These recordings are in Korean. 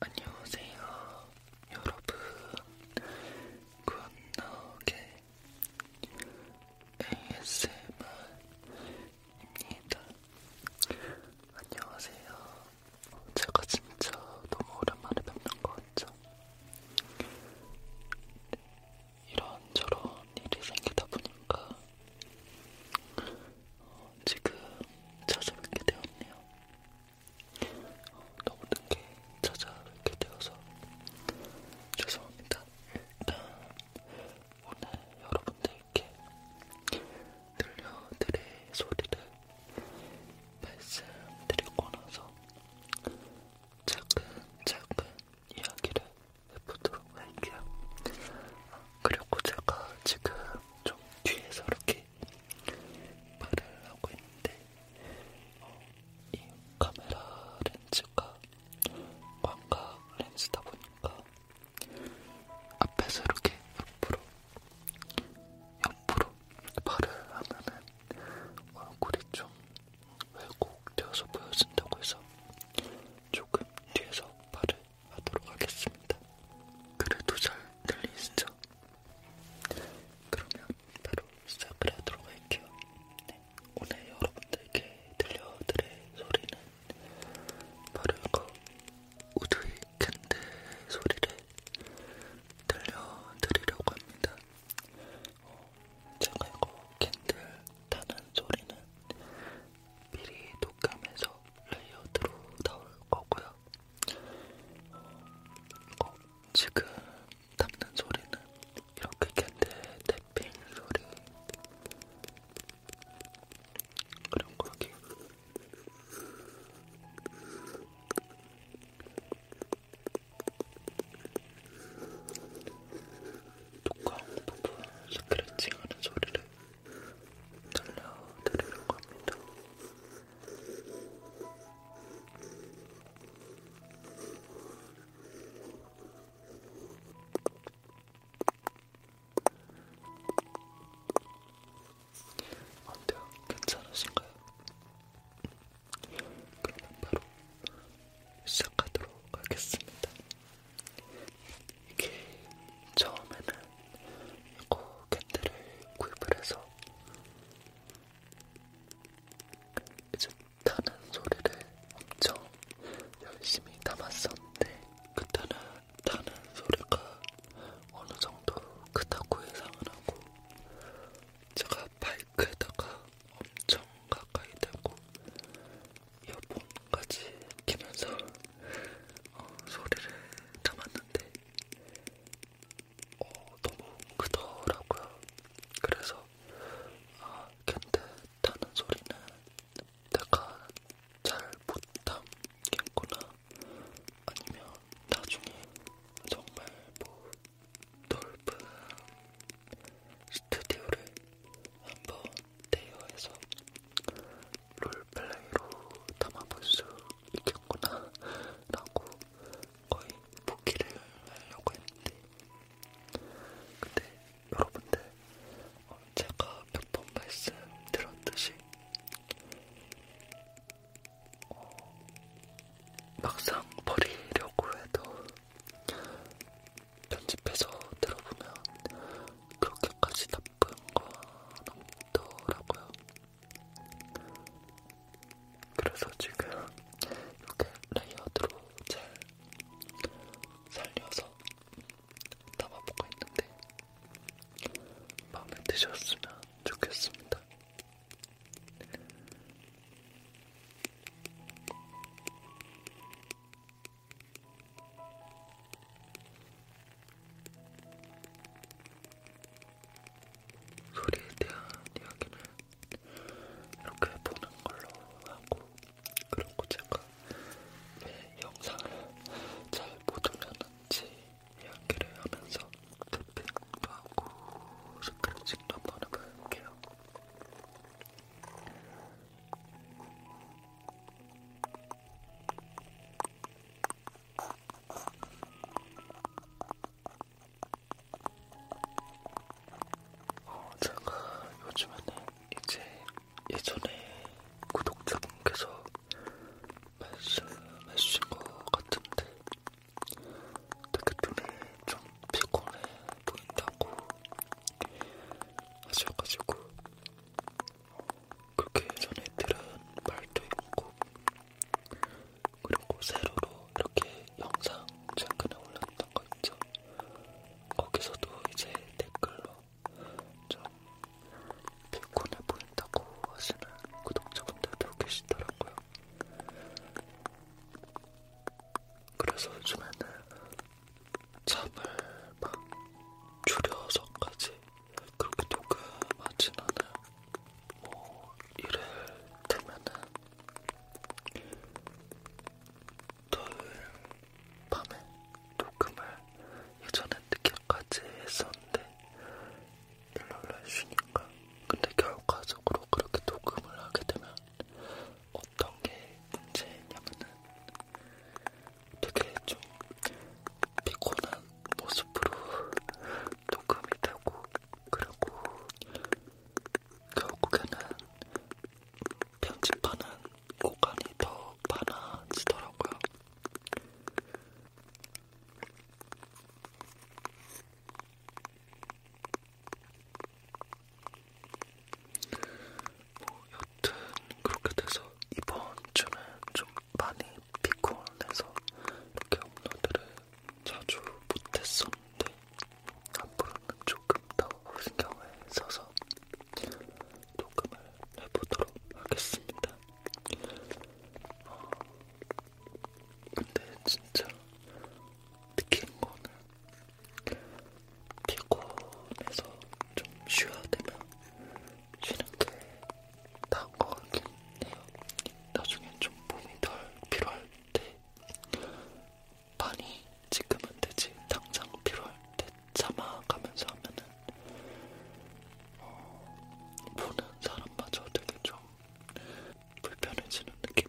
안녕하세요, 여러분. 굿나게 ASMR입니다. 안녕하세요. 제가 진짜 너무 오랜만에 뵙는 것 같죠? 네, 이런저런 일이 생기다 보니까 어, 지금 찾아뵙게 되었네요. 너무 늦게 찾아뵙게 되어서 죄송합니다. 일단 오늘 여러분들께 들려드릴 소리를 말씀드리고 나서 차근차근 이야기를 해보도록 할게요. 그리고 제가 지금 좀 뒤에서 이렇게 말을 하고 있는데 어, 이 카메라 렌즈가 광각 렌즈다 보니까 앞에서 이렇게 옆으로 옆으로 말을 하면은 얼굴이 좀 왜곡되어서 보여진다고 해서 조금 뒤에서 말을 하도록 하겠습니다. 그래도 잘 들리시죠? 그러면 바로 시작을 하도록 할게요. 네. 오늘 여러분들께 들려드릴 소리는 바로 이거 우드의 캔들 소리를 들려드리려고 합니다. 어, 제가 이거 캔들 타는 소리는 미리 녹음해서 레이어드로 나올 거고요. 어, 지금 담는 소리는 이렇게 캔들 탭핑 소리 그런 거기 두꺼운 부분 스크래칭하는 소리를 들려드리려고 합니다. 어때요? 괜찮으신가요? 그러면 바로 시작하도록 하겠습니다. 이게 처음에는 이거 캔들을 구입을 해서 이제 타는 소리를 엄청 열심히 담았었는데 그때는 타는 소리가 어느 정도 크다고 예상을 하고 제가 바이크에다가 엄청 가까이 대고 이어폰까지 끼면서 어, 소리를 담았는데 어, 너무 크더라고요. 그래서 아, 캔들 타는 소리는 내가 잘 못 담겠구나. 아니면 나중에 정말 뭐 넓은 스튜디오를 한번 대여해서 롤플레이로 담아볼 수 있겠구나 라고 거의 복귀를 하려고 했는데 근데 여러분들 어, 제가 몇 번 말씀드렸듯이 어, 막상 버리려고 해도 편집해서 들어보면 그렇게까지 나쁜 건 없더라고요. 그래서 지금 이렇게 레이어드로 잘 살려서 담아보고 있는데 마음에 드셨으면 좋겠습니다. 소리에 대한 이야기는 이렇게 보는 걸로 하고 그리고 제가 왜 영상을 잘못 올렸는지 이야기를 하면서 탭핑도 하고 스트레칭도 한번 해볼게요. 어, 제가 요즘에는 이제 예전에 구독자분께서 말씀해 주신 것 같은데 되게 눈이 좀 피곤해 보인다고 하셔가지고 어, 그렇게 전에 들은 말도 있고 그리고 세로로 이렇게 영상 최근에 올렸던 거 있죠? 거기서도 이제 댓글로 좀 피곤해 보인다고 하시는 구독자분들도 계시더라고요. 그래서 요즘에는 잠을 막 줄여서까지 그렇게 녹음하진 않아요. 뭐 일을 되면은 토요일 밤에 녹음을 예전에 늦게까지 했었는데 일요일날 쉬니까 근데 결과적으로 그렇게 녹음을 하게 되면 어떤 게 문제냐면은 되게 좀 피곤한 모습으로 독감이 되고 그리고 결국에는 편집하는 공간이 더 많아지더라고요. 뭐 여튼 그렇게 돼서 이번 주는 좀 많이 비콘해서 이렇게 업로드를 자주 못했었는데 앞으로는 조금 더 신경을 써서 녹음을 해보도록 하겠습니다. 어, 근데 진짜 느끼는 거는 피곤해서 좀 쉬어야 되면 쉬는 게 나은 것 같긴 해요. 나중에 좀 몸이 덜 필요할 때 많이 지금은 되지 당장 필요할 때 참아가면서 하면은 어, 보는 사람마저 되게 좀 불편해지는 느낌?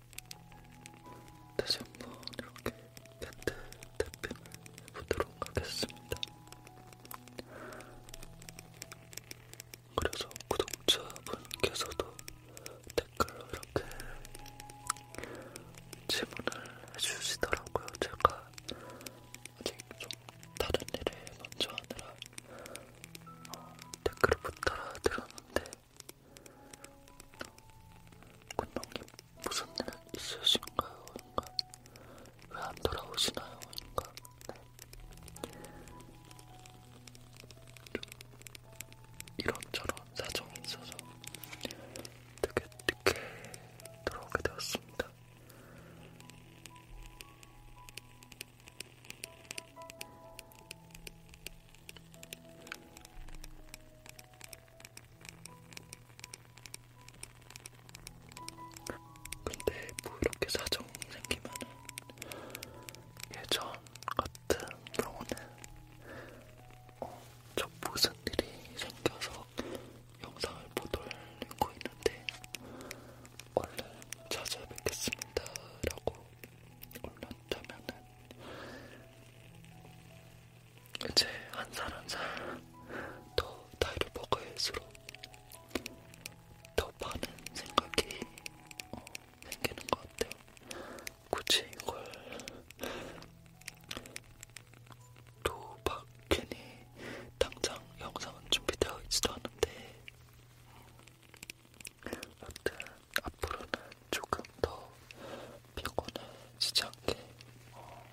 다시 한번 이렇게 곁에 탭핑을 해보도록 하겠습니다. 그래서 구독자분께서도 댓글로 이렇게 질문을 해주시더라고요. 제가 아직 좀 다른 일을 먼저 하느라 어, 댓글을 못 따라 들었는데 군동님 무슨 일 있으신가요? 인가 그러니까 왜안 돌아오시나요? 인가 그러니까. 네. 이런저런 사정이 있어서 되게 늦게 들어오게 되었습니다. 근데 뭐 이렇게 사정 생기면은 예전 같은 경우는 어, 저 무슨 일이 생겨서 영상을 못 올리고 있는데 얼른 찾아뵙겠습니다라고 올렸다면은 이제 한살한살더 나이를 먹어야할수록 더 많은 생각이 어, 생기는 것 같아요. 굳이 이걸 또막 괜히 당장 영상은 준비되어 있지도 않은데 여튼 앞으로는 조금 더 피곤해지지 않게 어,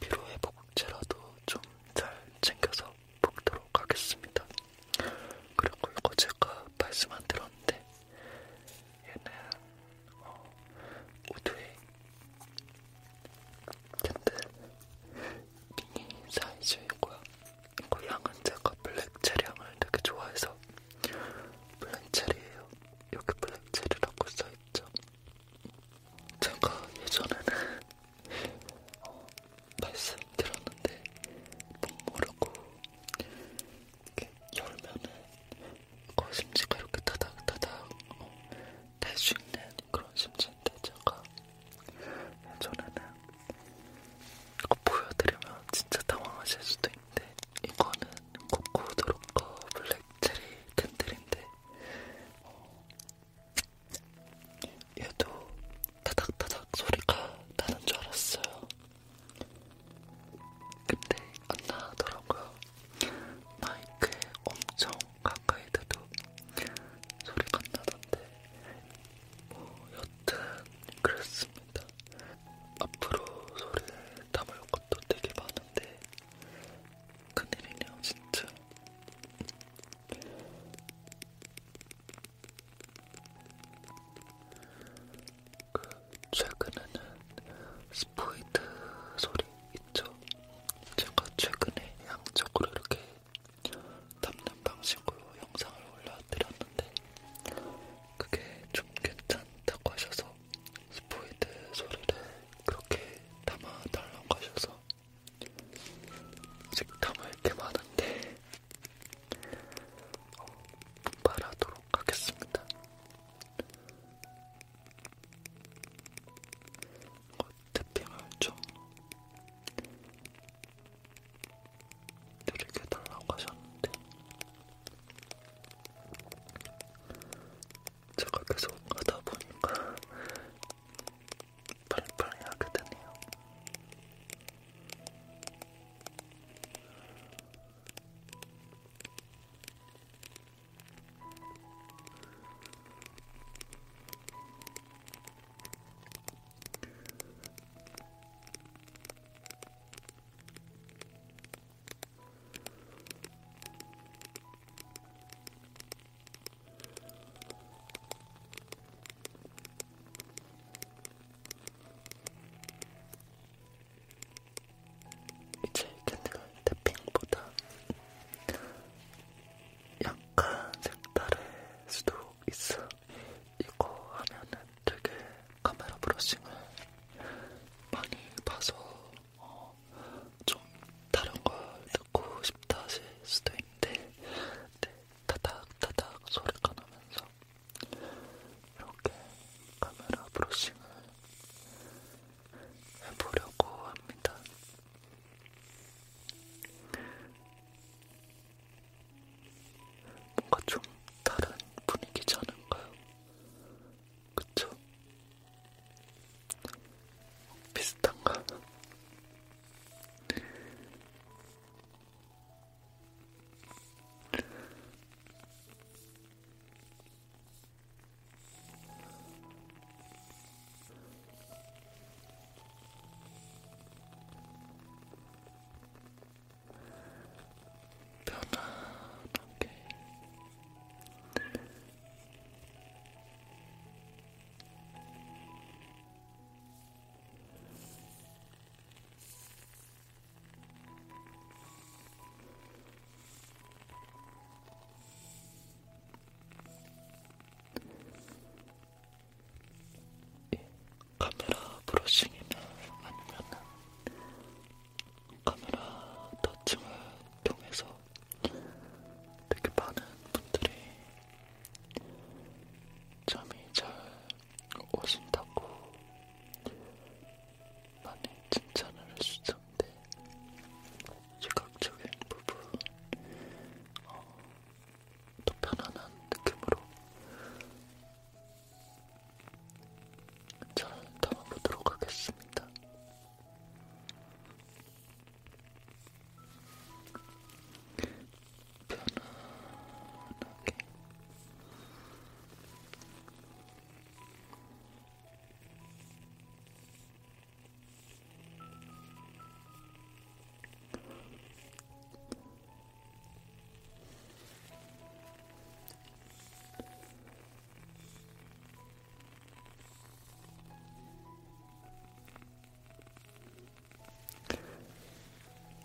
피로회복제라도 좀 잘 챙겨서 먹도록 하겠습니다. 그리고 이거 제가 말씀 안 들었는데 얘는 어, 우드의 캔들 미니 사이즈이고요. 그 향은 제가 블랙체리 향을 되게 좋아해서 블랙체리예요. 여기 블랙체리라고 써있죠. 제가 예전에는 어, 말씀드렸는데 모르고 이렇게 열면은 그 심지가 이렇게 타닥타닥 어, 될수 있는 그런 심지인데 제가 예전에는 이거 보여드리면 진짜 당황하실 수도 네, 이거는 코코드로커 어, 블랙체리 캔들인데 어, 얘도 타닥타닥 소리가 나는 줄 알았어요. 근데 안 나더라고요. 마이크에 엄청 가까이 대도 소리가 안 나던데 뭐 여튼 그렇습니다. 앞으로 소리를 담을 것도 되게 많은데 큰일이네요 진짜 그 최근에는 스포이드 소리 있죠? 제가 최근에 양쪽으로 이렇게 담는 방식으로 영상을 올려드렸는데 그게 좀 괜찮다고 하셔서 스포이드 소리를 그렇게 담아달라고 하셔서 아직 담을 게 많은데 어, 분발하도록 하겠습니다. 어, 태핑을 좀 드리게 달라고 하셨는데 제가 계속 하다 보니까 빨리빨리 하게 되네요. 이제 캔디가 태핑보다 약간 색다를 수도 있어. 이거 하면은 되게 카메라 브러싱을 많이 봐서 어, 좀 다른 걸 듣고 싶다 하실 수도 있는데 네, 타닥타닥 소리가 나면서 이렇게 카메라 브러싱을 해보려고 합니다. 뭔가 좀 다른 분위기지 않은가요? 그쵸? 비슷한가? 편안하게 예. 카메라 브러싱이나 아니면 카메라 터칭을 통해서 되게 많은 분들이 잠이 잘 오신다고 많이 칭찬을 해주던데 시각적인 부분 어, 더 편안한 느낌으로 잘 담아보도록 하겠습니다. 편안하게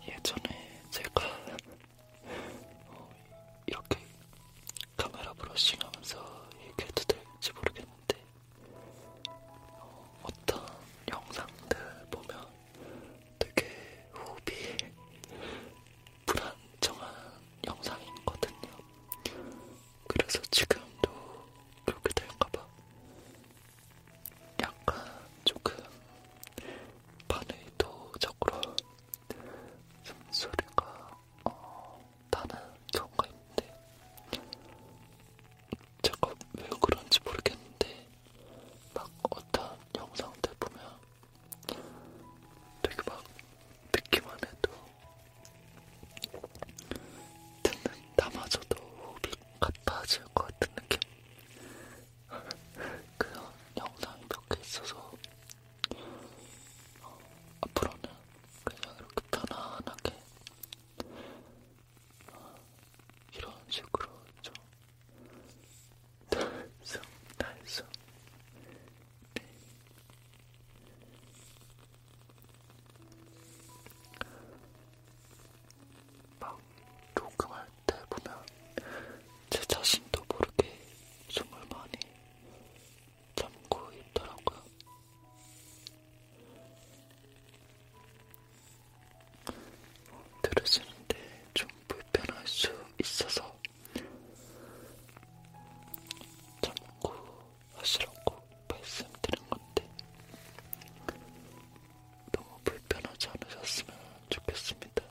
예전에 제가 어, 이렇게 카메라 브러싱 하면서 얘기해도 될지 모르겠는데 어, 어떤 영상들 보면 되게 호흡이 불안정한 영상이거든요. 그래서 지금도 그렇게 될까봐 약간 조금 반의도적으로 숨소리가 어, 나는 경우가 있는데 제가 왜 그런지 모르겠는데 막 어떤 영상들 보면 되게 막 듣기만 해도 듣는 나마저도 호흡이 가빠질 것 같은 느낌? 그런 영상이 몇 개 있어서 어, 앞으로는 그냥 이렇게 편안하게 어, 이런 식으로 좀 달성, 달성. 네. 막 녹음할 때 보면 제 자신도 모르게 숨을 많이 참고 있더라고요. 들으시는데 좀 불편할 수 있어서 참고 하시라고 말씀드린 건데 너무 불편하지 않으셨으면 좋겠습니다.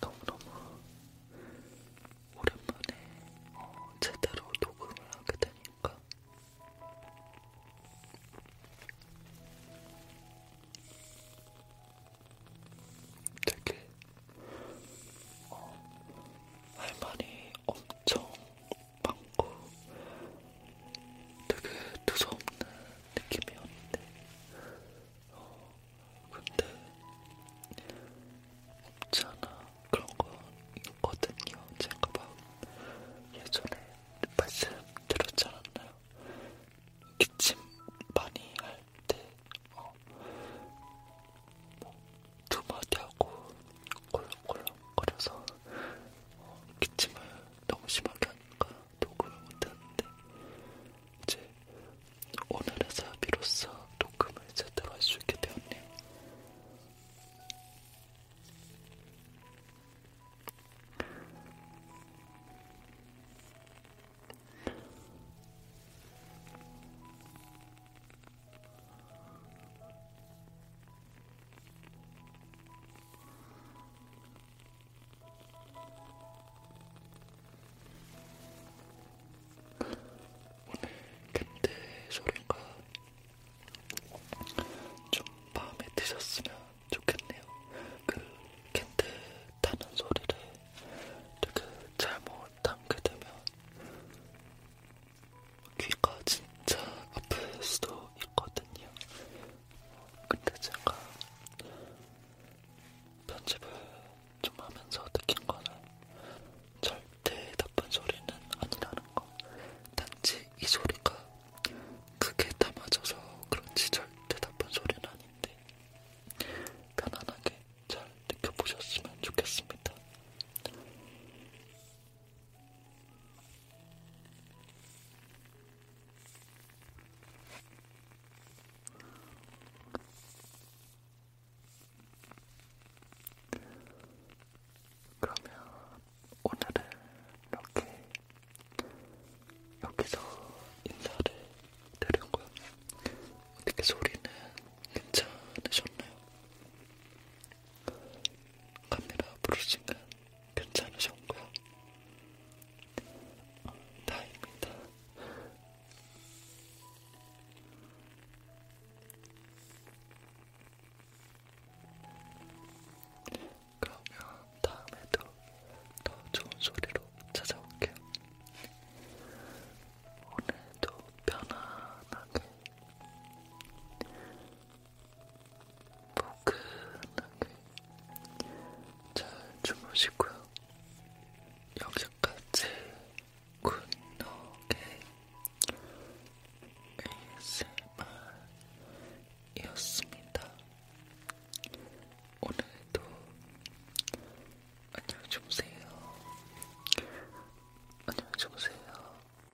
너무너무 오랜만에 어, 제대로 녹음을 하게 되니까 되게 어, 할 말이 엄청 많고 되게 두서없는 느낌이었는데 어, 근데 없지 않아 그런 거 있거든요. 제가 막 예전에 말씀드렸지 않았나요? 기침 많이 할때 어, 뭐두 마디 하고 콜렁콜렁거려서 어, 기침을 너무 심하게 하니까 녹음을 못했는데 이제 오늘에서 비로소 녹음을 제대로 할 수 있게 되었네요. 캔들 소리가 좀 마음에 드셨으면 좋겠네요. 그 캔들 타는 소리를 되게 잘못 담게 되면 귀가 진짜 아플 수도 있거든요. 근데 제가 편집을 좀 하면서 느낀 거는 절대 나쁜 소리는 아니라는 거. 단지 이 소리가 크게 담아져서 그런지 절대 나쁜 소리는 아닌데 편안하게 잘 느껴보셨으면 좋겠습니다. 그러면 오늘은 이렇게 여기서 인사를 드리고요. 어떻게 소리는 괜찮으셨나요? 카메라 부르신간 괜찮으셨고요. 어, 네. 다행입니다. 그러면 다음에도 더 좋은 소리로 찾아올게요. 오늘도 편안하게 포근하게 잘 주무시고요. 여기까지 굿노게 ASMR이었습니다. 오늘도 안녕히 주무세요. 안녕히 주무세요.